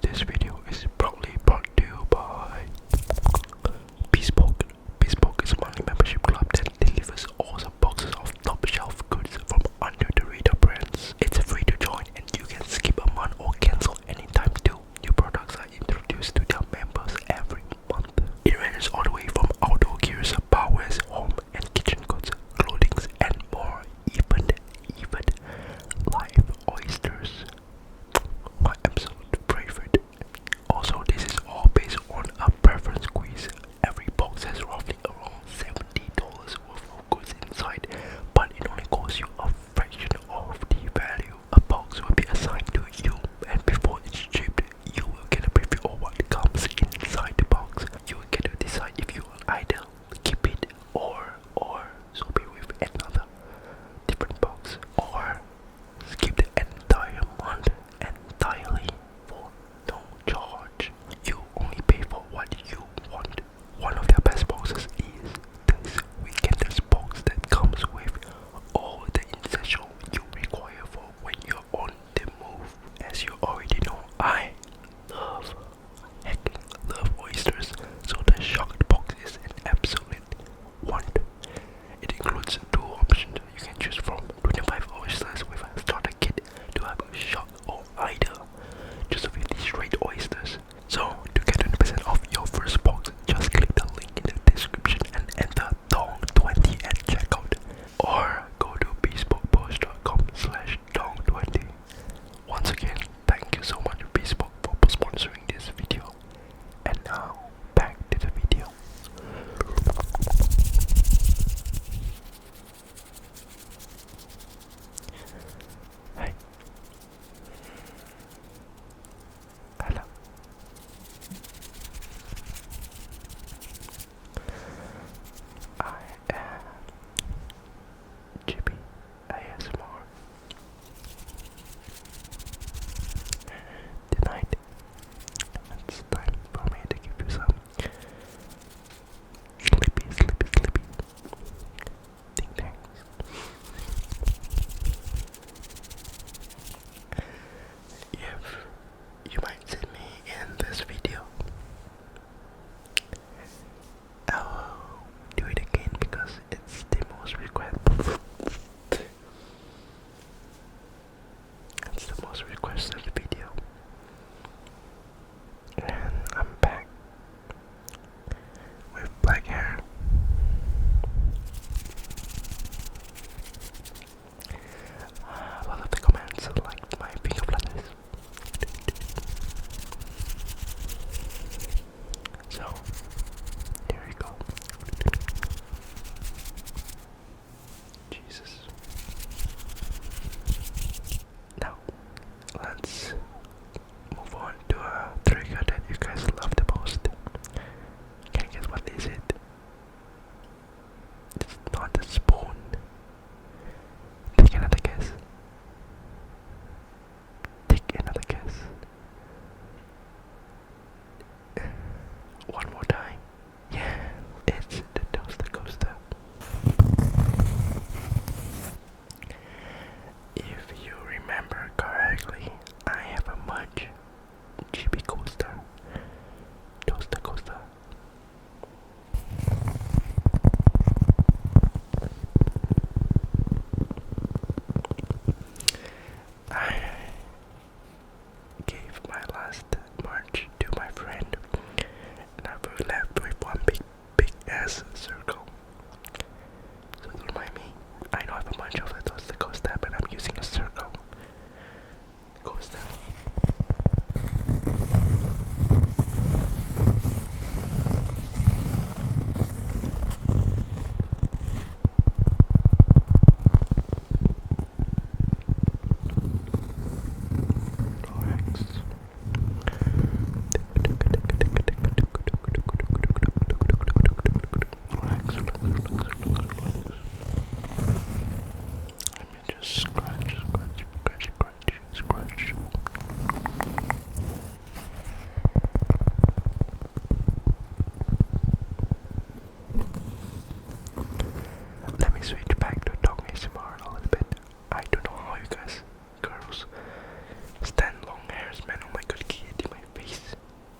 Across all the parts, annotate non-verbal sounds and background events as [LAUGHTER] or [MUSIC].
This video is proudly brought to you by Bespoke. Bespoke is a monthly membership club that delivers awesome boxes of top shelf goods from under the radar brands. It's free to join and you can skip a month or cancel anytime New products are introduced to their members every month. It ranges all the way from outdoor gear, powers, home and kitchen goods, clothing, and more even even live oysters my absolute favorite also this is all based on a preference quiz every box has roughly around $70 worth of goods inside but it only costs you a fraction of the value a box will be assigned to you and before it's shipped you will get a preview of what comes inside the box you will get to decide if you are either keep it or or swap it with another different box or skip the entire month entirely for no charge. You only pay for what you want. One of their best boxes is this weekender's box that comes with all the essential you require for when you're on the move. As you already know, I love hecking love oysters, so the shocked box is an absolute want. It includes two options you can choose from 25 oysters with a starter kit to have a shot or either, just 50 straight oysters. So, to get 20% off your first box, just click the link in the description and enter THONG20 at checkout or go to bespokepost.com slash Dong20. Once again, thank you so much Facebook for sponsoring this video. And now, back to the video. Hey. Hello. I and uh, Chippy ASMR. Tonight, it's time for me to give you some sleepy, sleepy, sleepy ding If you might see me in this video, I'll do it again because it's the most requested. it's the most requested video. And I'm back with black hair. Uh, one of the comments liked my finger flutters. So, there you go. Jesus. Now, let's move on to a trigger that you guys love the most. Can you guess what is it? It's not a spoon. Take another guess. Take another guess. One more time. Yeah, it's the Costa Costa. If you remember correctly, I have a much chibi Costa. Costa Costa. I gave my last march to my friend, and I was left with one big, big ass circle. don't mind me. I know I have a bunch of those little steps, and I'm using a circle goes down. Relax. Relax, relax, relax, relax, relax. Let me just scratch, scratch, scratch, scratch, scratch. Let me switch back to dog ASMR a little bit. I don't know how you guys, girls, stand long hairs, man. Oh my god, get in my face.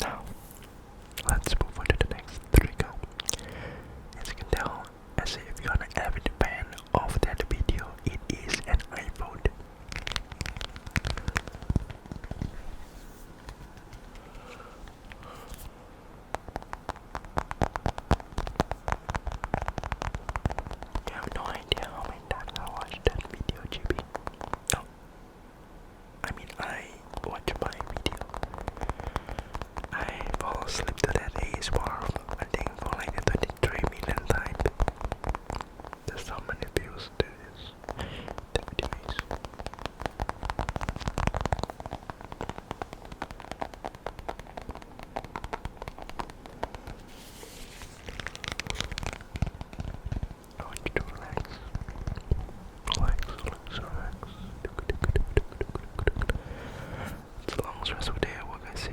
Now, let's move on to the next trigger. As you can tell, as if you're an avid fan of that video, it is an iPhone. I have no idea how many times I watched that video, GB. No. I mean, I watch my video. I fall asleep to that ASMR, I think, for like the 23 million times. There's so many views to this activities. I want you to relax. Relax, relax, relax. It's a long stressful day at work, I see.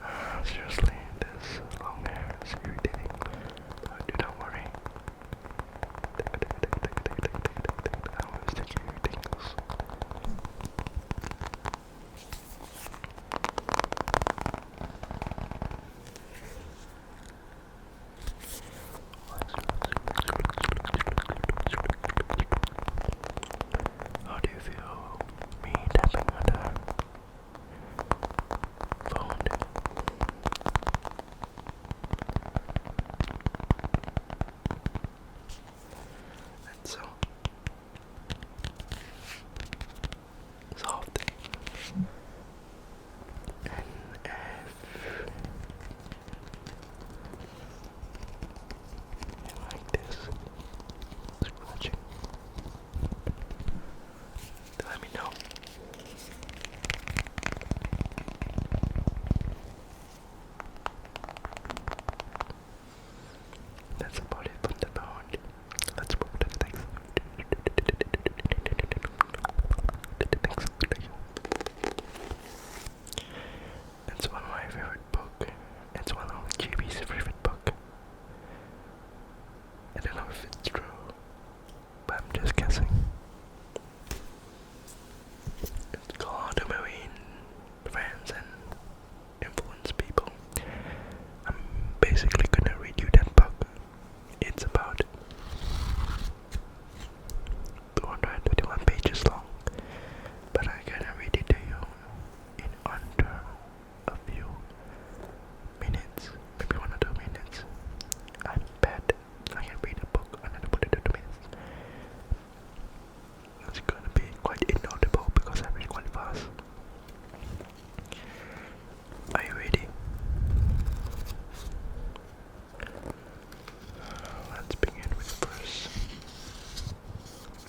[SIGHS] Seriously, this long hair is irritating. Uh, do not worry. I always take care of tingles. How do you feel me tapping on the Phoned. And so soft and like this scratching let me know. That's about it from the pound. Let's move to the next. The next video. one of my favorite book. It's one of JB's favorite book. I don't know if it's true, but I'm just guessing. It's called a movie and influence people. I'm basically gonna read you that book. It's about 221 pages long, but I'm gonna read it to you in under a few minutes, maybe one or two minutes. I bet I can read a book under one or two minutes. It's gonna be quite inaudible because I read quite fast. Are you ready? Let's begin with verse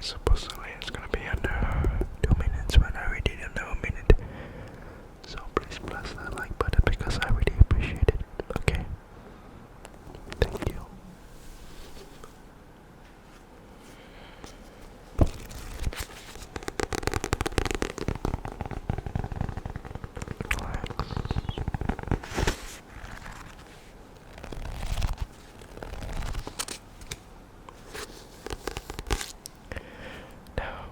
Supposedly it's gonna be under two minutes when I already did under a minute. So please press that like button because I really appreciate it. Okay. Thank you. Relax. Now,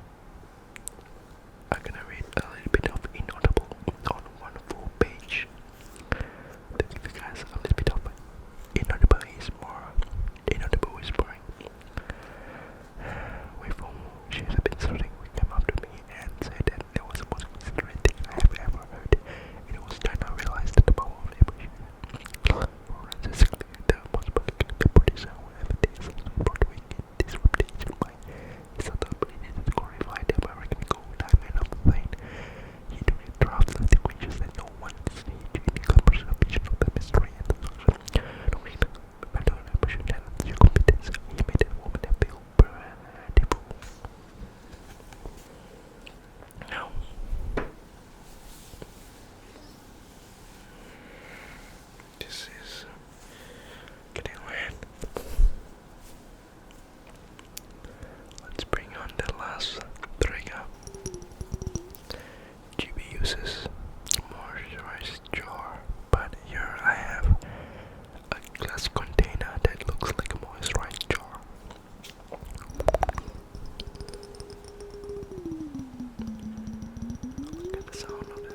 I'm gonna read a little bit of Inaudible on one full page. To you a little bit of Inaudible is more Inaudible whispering. Wait for she's been starting who came up to me and said that that was the most considerate thing I have ever heard. It was time I realized that the power of emotion. Florence is clearly the most particular producer who ever did something Broadway in this reputation by his ability to glorify the American gold diamond of the line. He duly drafts the sequences that no one sees in the commercial vision of the mystery and the suction. No need perdón, profesional, This is uh, getting weird. Let's bring on the last trigger. GB uses moisturized jar, but here I have a glass container that looks like a moisturized jar. Look at the sound of it.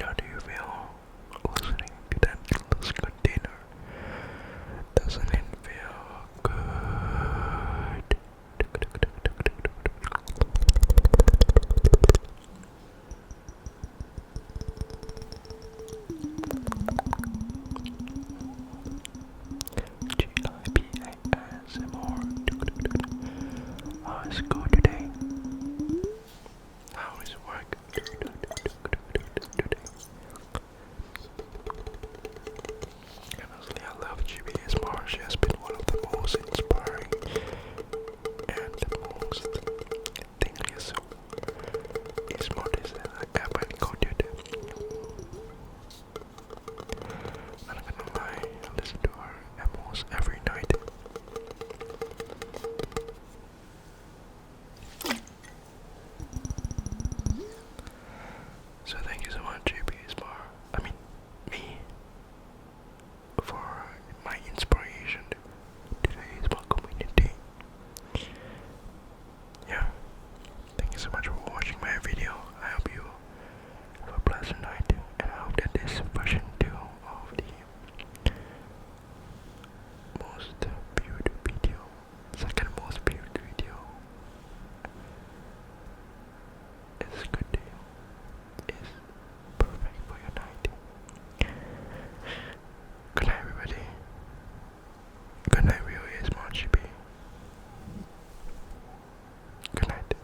How do you feel listening to that endless container? Doesn't it feel good? GIPASMR. How is school today? How is work today? Honestly, I love GBS She has been one of the most inspiring and most tingly soup is more than I I'm not gonna lie, I listen to her almost every night. So thank you so much, JP Spar. I mean, me for my inspiration today is my Yeah. Thank you so much for watching my video. I hope you have a pleasant night and I hope that this version 2 of the most viewed video, second most viewed video is good deal. Is perfect for your night. Good night, everybody. Good night, real is GP. Good night.